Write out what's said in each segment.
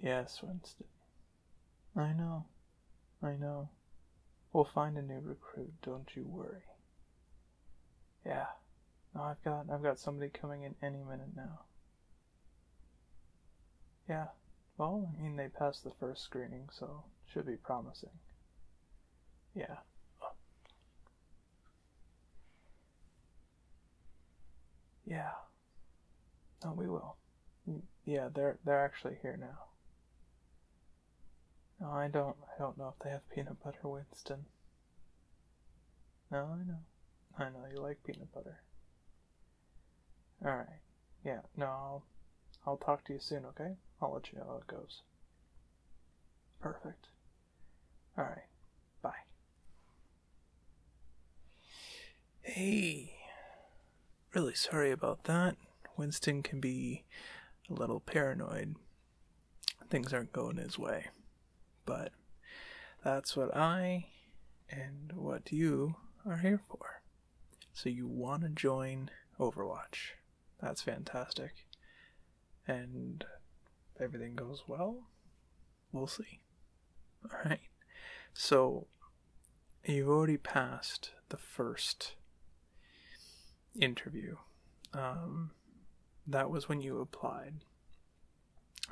Yes, Winston. I know. I know. We'll find a new recruit, don't you worry. Yeah. I've got I've got somebody coming in any minute now. Yeah. Well, I mean they passed the first screening, so should be promising. Yeah. Yeah. No, we will. Yeah, they're they're actually here now. No, I don't I don't know if they have peanut butter Winston. No, I know. I know you like peanut butter. All right. Yeah, no. I'll, I'll talk to you soon, okay? I'll let you know how it goes. Perfect. All right. Bye. Hey, really sorry about that. Winston can be a little paranoid. Things aren't going his way. But that's what I and what you are here for. So you want to join Overwatch. That's fantastic. And everything goes well? we'll see. Alright, so you've already passed the first interview. Um, that was when you applied.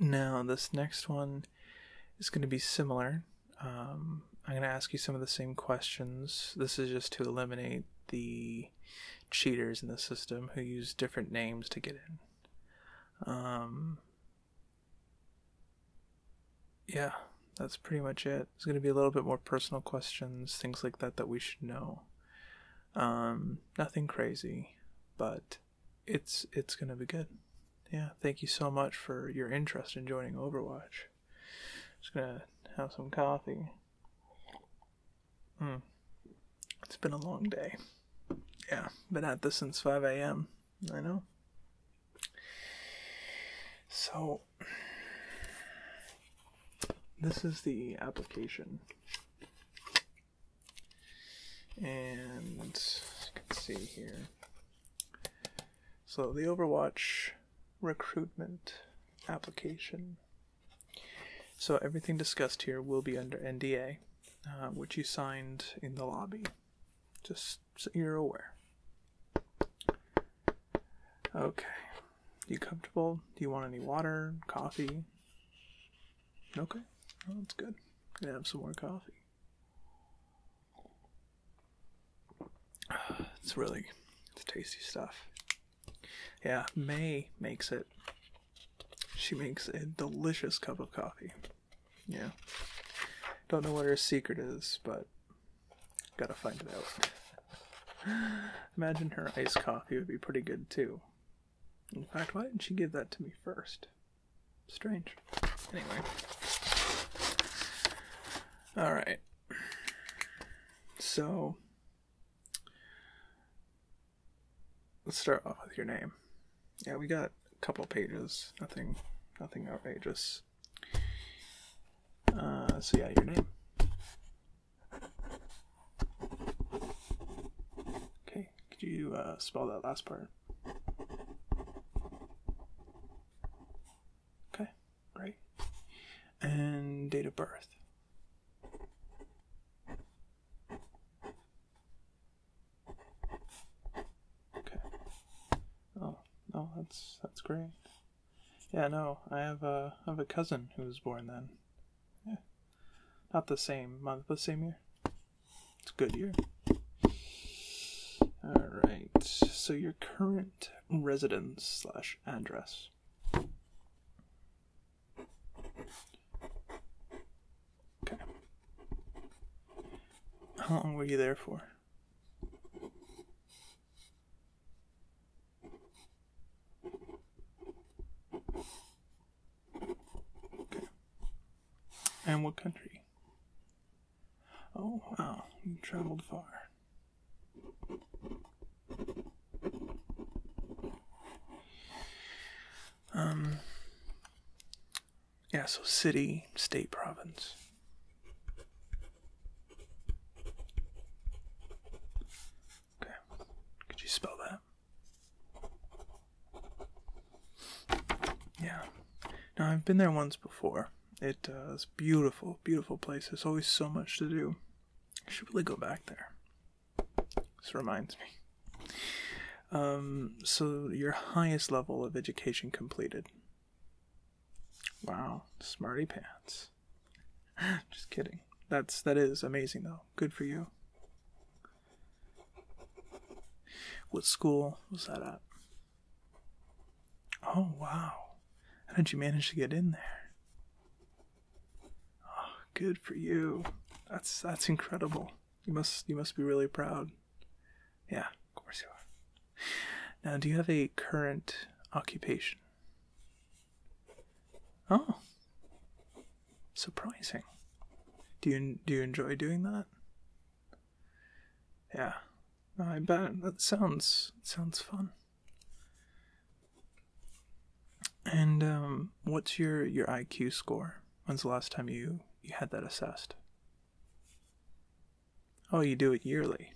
Now, this next one is going to be similar. Um, I'm going to ask you some of the same questions. This is just to eliminate the cheaters in the system who use different names to get in. Um, yeah, that's pretty much it. It's going to be a little bit more personal questions, things like that that we should know. Um, nothing crazy, but it's it's going to be good. Yeah, thank you so much for your interest in joining Overwatch. Just going to have some coffee. Hmm. It's been a long day. Yeah, been at this since 5 a.m. I know. So, this is the application. And you can see here. So, the Overwatch recruitment application. So, everything discussed here will be under NDA, uh, which you signed in the lobby. Just so you're aware. Okay. do You comfortable? Do you want any water, coffee? Okay. that's good. i have some more coffee. It's really it's tasty stuff. Yeah, May makes it. She makes a delicious cup of coffee. Yeah. Don't know what her secret is, but gotta find it out. Imagine her iced coffee would be pretty good too. In fact, why didn't she give that to me first? Strange. Anyway. Alright. So, let's start off with your name. Yeah, we got couple pages, nothing, nothing outrageous. Uh, so yeah, your name. Okay, could you uh, spell that last part? Okay, great. And date of birth. Okay. Oh, no, that's that's great. Yeah, no, I have a I have a cousin who was born then. Yeah. Not the same month, but same year. It's a good year. Alright. So your current residence slash address. Okay. How long were you there for? Okay. And what country? Oh, wow, you traveled far. Um, yeah, so city, state, province. Okay. Could you spell that? Yeah. Now I've been there once before. Uh, it's beautiful, beautiful place. There's always so much to do. should really go back there. This reminds me. Um, so your highest level of education completed. Wow, smarty pants. Just kidding. That's that is amazing though. Good for you. What school was that at? Oh wow. How did you manage to get in there? Oh, good for you. That's that's incredible. You must you must be really proud. Yeah, of course you are. Now, do you have a current occupation? Oh, surprising. Do you do you enjoy doing that? Yeah, I bet that sounds sounds fun. And um, what's your your IQ score? When's the last time you you had that assessed? Oh, you do it yearly.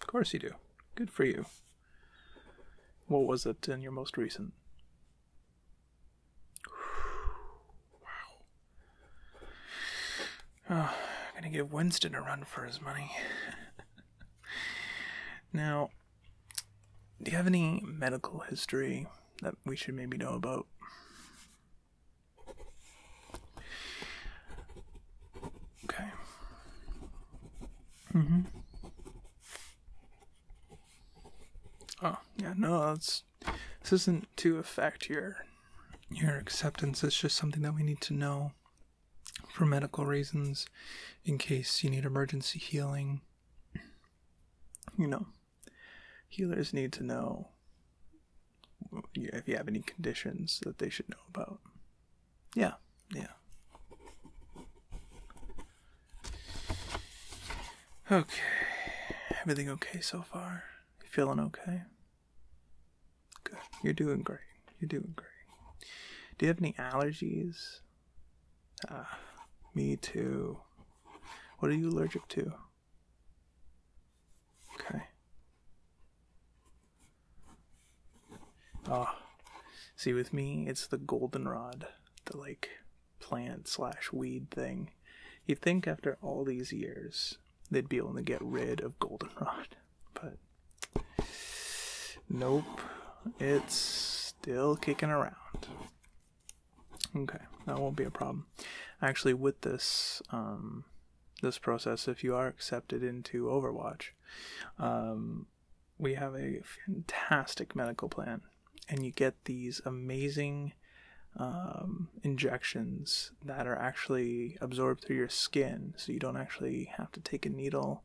Of course you do. Good for you. What was it in your most recent? Wow. Oh, I'm gonna give Winston a run for his money. now, do you have any medical history that we should maybe know about? Okay. Mm-hmm. Oh, yeah, no, that's this isn't to affect your your acceptance. It's just something that we need to know for medical reasons in case you need emergency healing. You know, healers need to know if you have any conditions that they should know about. Yeah, yeah. Okay, everything okay so far? You feeling okay? Good, you're doing great. You're doing great. Do you have any allergies? Ah, me too. What are you allergic to? Okay. oh, see, with me, it's the goldenrod, the like plant slash weed thing. You'd think after all these years they'd be able to get rid of goldenrod, but nope, it's still kicking around. Okay, that won't be a problem. Actually, with this, um, this process if you are accepted into Overwatch. Um, we have a fantastic medical plan, and you get these amazing um, injections that are actually absorbed through your skin, so you don't actually have to take a needle.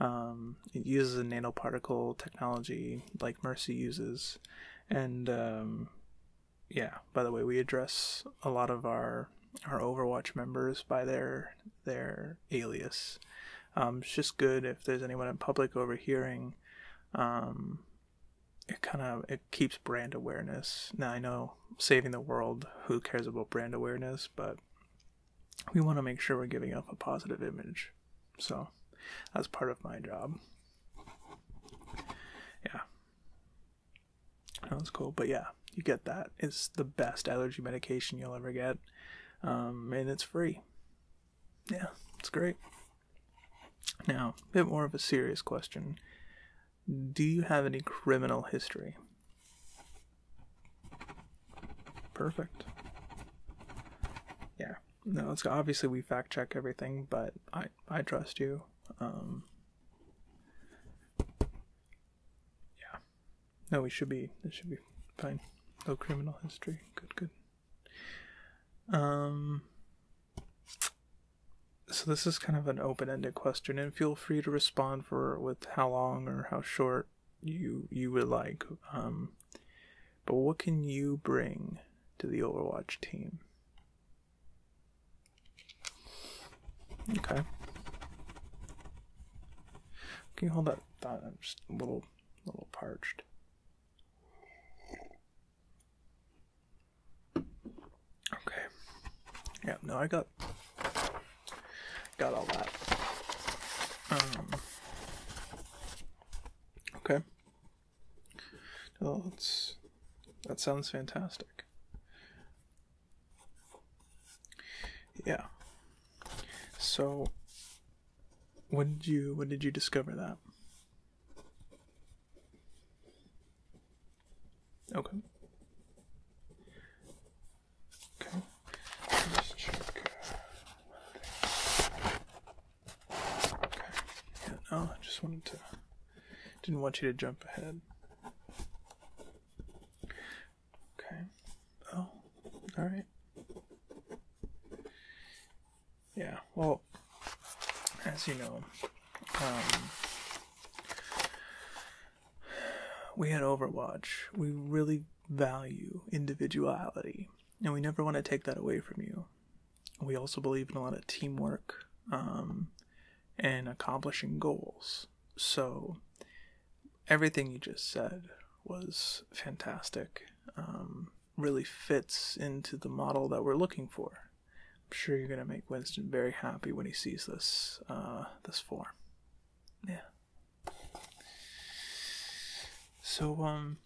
Um, it uses a nanoparticle technology like Mercy uses, and yeah, by the way, we address a lot of our our Overwatch members by their their alias. Um, it's just good if there's anyone in public overhearing. Um, it kind of it keeps brand awareness. Now I know saving the world, who cares about brand awareness, but we want to make sure we're giving off a positive image. So that's part of my job. Yeah. That's cool. But yeah, you get that. It's the best allergy medication you'll ever get. Um, and it's free. Yeah, it's great. Now, a bit more of a serious question. Do you have any criminal history? Perfect. Yeah. No, it's obviously we fact check everything, but I I trust you. Um, yeah. No, we should be. This should be fine. No criminal history. Good, good. Um. So this is kind of an open-ended question, and feel free to respond for with how long or how short you you would like. Um, but what can you bring to the Overwatch team? Okay. Can you hold that That I'm just a little, a little parched. Okay. Yeah. No, I got, got all that. Um. Okay. Well, that sounds fantastic. Yeah. So when did you when did you discover that? Okay. Okay. Yeah, no, I just wanted to didn't want you to jump ahead. Okay. Oh, all right. Yeah, well, as you know, um, we at Overwatch, we really value individuality, and we never want to take that away from you. We also believe in a lot of teamwork um, and accomplishing goals. So everything you just said was fantastic. Um, really fits into the model that we're looking for. I'm sure you're going to make Winston very happy when he sees this uh, this form. Yeah. So um,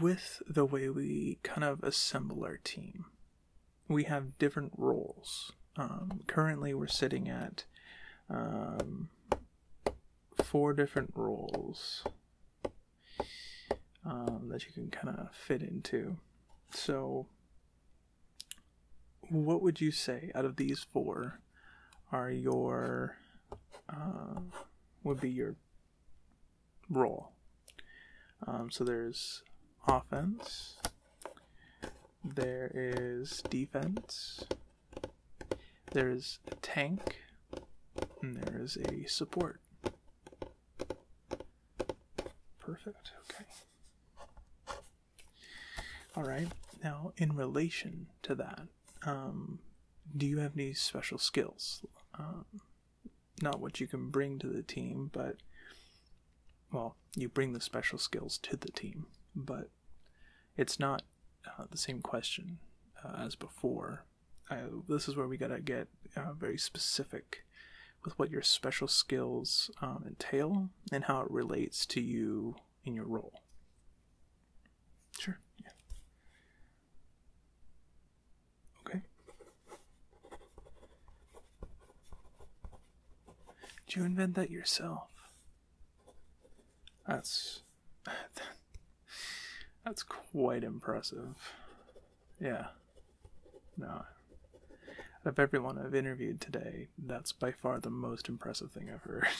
with the way we kind of assemble our team, we have different roles. Um, currently, we're sitting at um, four different roles um, that you can kind of fit into. So, what would you say out of these four are your uh, would be your role? so there's offense, there is defense. There is a tank. And there is a support. Perfect. Okay. All right. Now, in relation to that, um, do you have any special skills? Um, not what you can bring to the team, but well, you bring the special skills to the team, but it's not uh, the same question uh, as before. this is where we gotta get uh, very specific with what your special skills um, entail and how it relates to you in your role. Sure. Okay. Did you invent that yourself? That's. That's quite impressive. Yeah. No. of everyone I've interviewed today, that's by far the most impressive thing I've heard.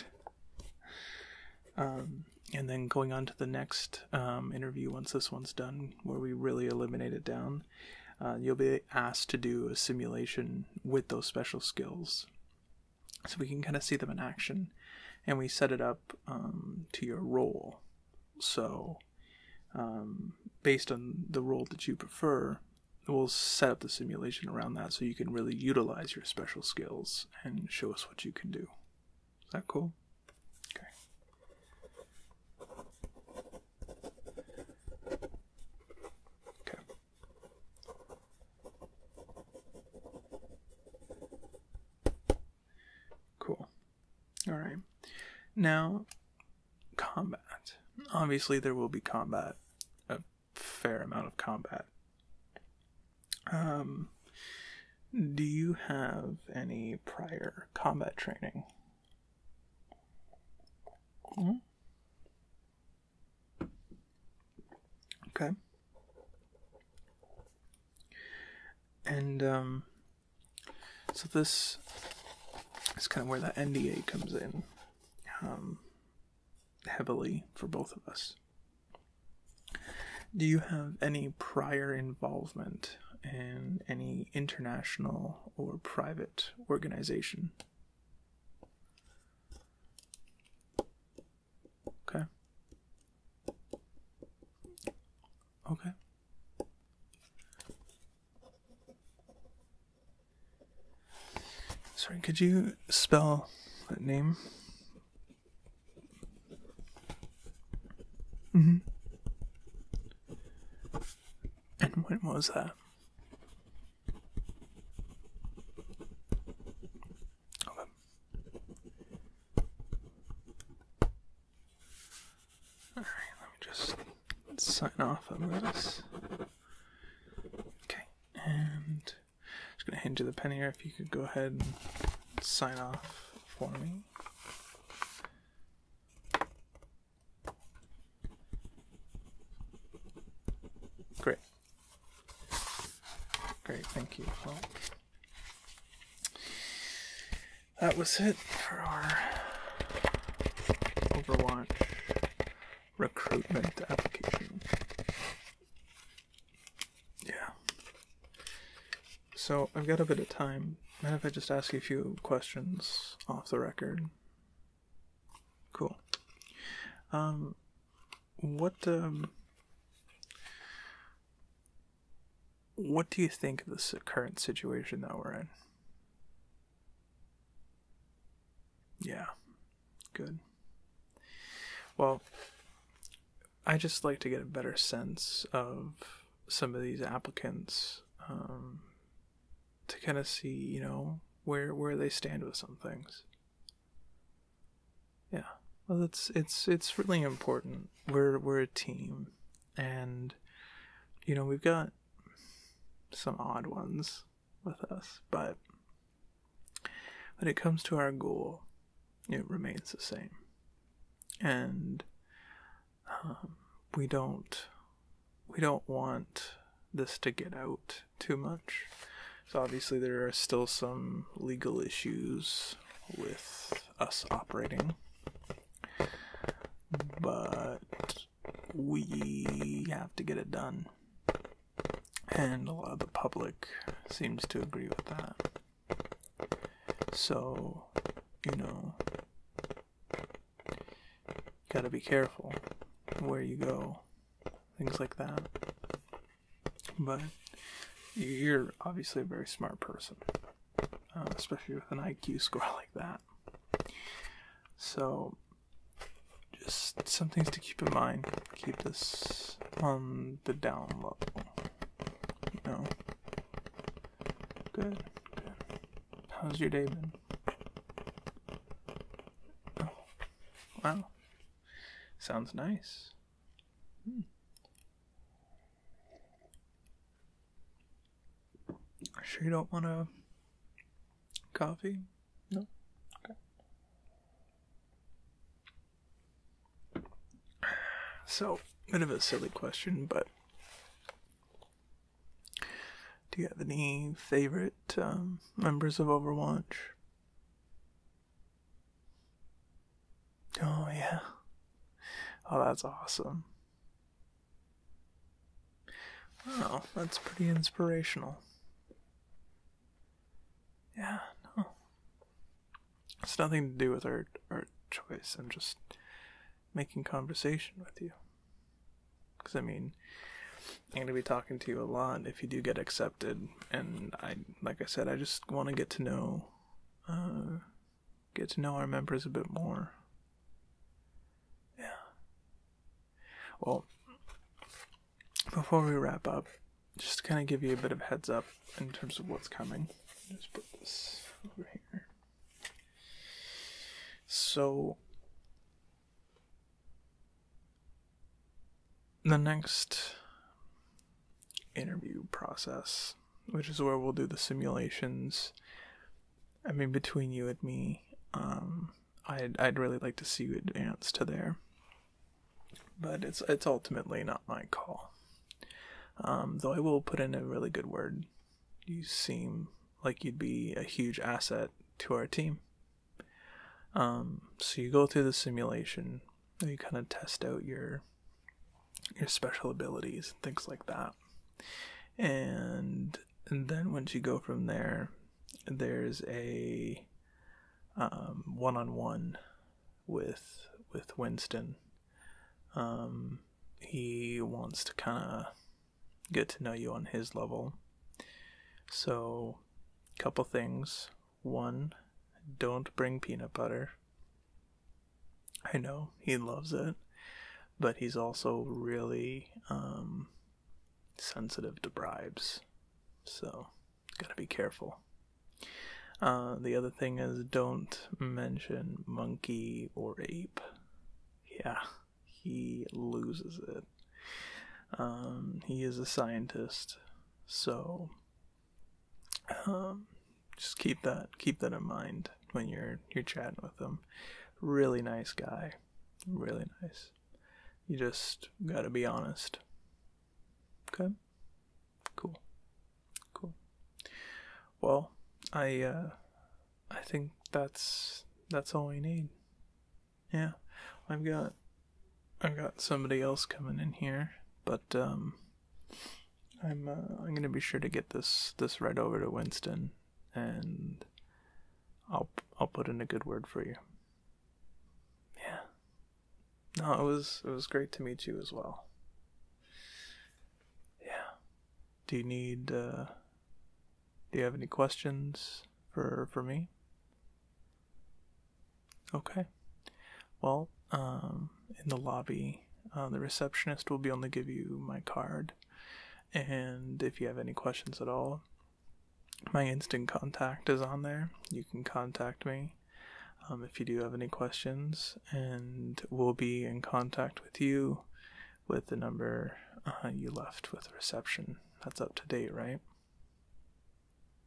Um, and then going on to the next um, interview once this one's done, where we really eliminate it down, uh, you'll be asked to do a simulation with those special skills. So we can kind of see them in action, and we set it up um, to your role. So, um, based on the role that you prefer, we'll set up the simulation around that so you can really utilize your special skills and show us what you can do. Is that cool? Okay. Okay. Cool. All right. Now, combat. Obviously, there will be combat, a fair amount of combat. Um, do you have any prior combat training? Mm-hmm. Okay. And um, so this is kind of where the NDA comes in um, heavily for both of us. Do you have any prior involvement in any international or private organization? Okay. Okay. Sorry, could you spell that name? Mm-hmm. And when was that? Alright, let me just sign off on this. Okay, and just gonna hand you the pen here if you could go ahead and sign off for me. Great. Great, thank you. that was it for our Overwatch recruitment application. Yeah. So I've got a bit of time. Mind if I just ask you a few questions off the record? Cool. Um, what um, what do you think of the current situation that we're in? Yeah, good. Well, I just like to get a better sense of some of these applicants um, to kind of see, you know, where where they stand with some things. Yeah, well, it's it's it's really important. We're we're a team, and you know we've got some odd ones with us, but when it comes to our goal, it remains the same, and um, we don't we don't want this to get out too much. So obviously there are still some legal issues with us operating. But we have to get it done. And a lot of the public seems to agree with that. So, you know, gotta be careful where you go, things like that. But you're obviously a very smart person, uh, especially with an IQ score like that. So, just some things to keep in mind. Keep this on the down low. You know? Good, good. How's your day been? Oh, wow. Sounds nice. Hmm. Sure, you don't want a coffee? No? Okay. So, bit of a silly question, but do you have any favorite um, members of Overwatch? Oh, yeah. Oh, that's awesome. Wow, that's pretty inspirational. Yeah, no. It's nothing to do with our, our choice. I'm just making conversation with you. Because I mean, I'm gonna be talking to you a lot if you do get accepted, and I, like I said, I just want to get to know, uh, get to know our members a bit more. Yeah. Well, before we wrap up, just kind of give you a bit of heads up in terms of what's coming, just put this over here. So, the next interview process, which is where we'll do the simulations. I mean, between you and me, um, I'd I'd really like to see you advance to there, but it's it's ultimately not my call. Um, though I will put in a really good word. You seem like you'd be a huge asset to our team. Um, so you go through the simulation, you kind of test out your your special abilities and things like that. And, then once you go from there, there's a um, one-on-one with with Winston. Um, he wants to kind of get to know you on his level. So, couple things. One, don't bring peanut butter. I know he loves it, but he's also really um, sensitive to bribes. So, gotta be careful. Uh, the other thing is don't mention monkey or ape. Yeah, he loses it. Um, he is a scientist, so um, just keep that keep that in mind when you're you're chatting with him. Really nice guy, really nice. You just gotta be honest. Okay, cool, cool. Well, I uh, I think that's that's all we need. Yeah, I've got I've got somebody else coming in here, but um, I'm uh, I'm gonna be sure to get this this right over to Winston, and I'll I'll put in a good word for you. Yeah. No, it was it was great to meet you as well. Yeah. Do you need uh, do you have any questions for for me? Okay. Well, um, in the lobby, uh, the receptionist will be able to give you my card, and if you have any questions at all, my instant contact is on there. You can contact me um, if you do have any questions, and we'll be in contact with you with the number uh, you left with reception. That's up to date, right?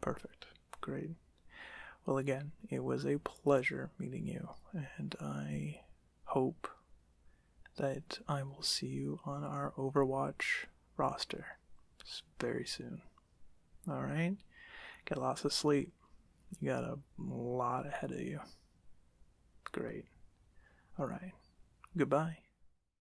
Perfect. Great. Well, again, it was a pleasure meeting you, and I hope that I will see you on our Overwatch roster very soon. All right? Get lots of sleep. You got a lot ahead of you. Great. All right. Goodbye.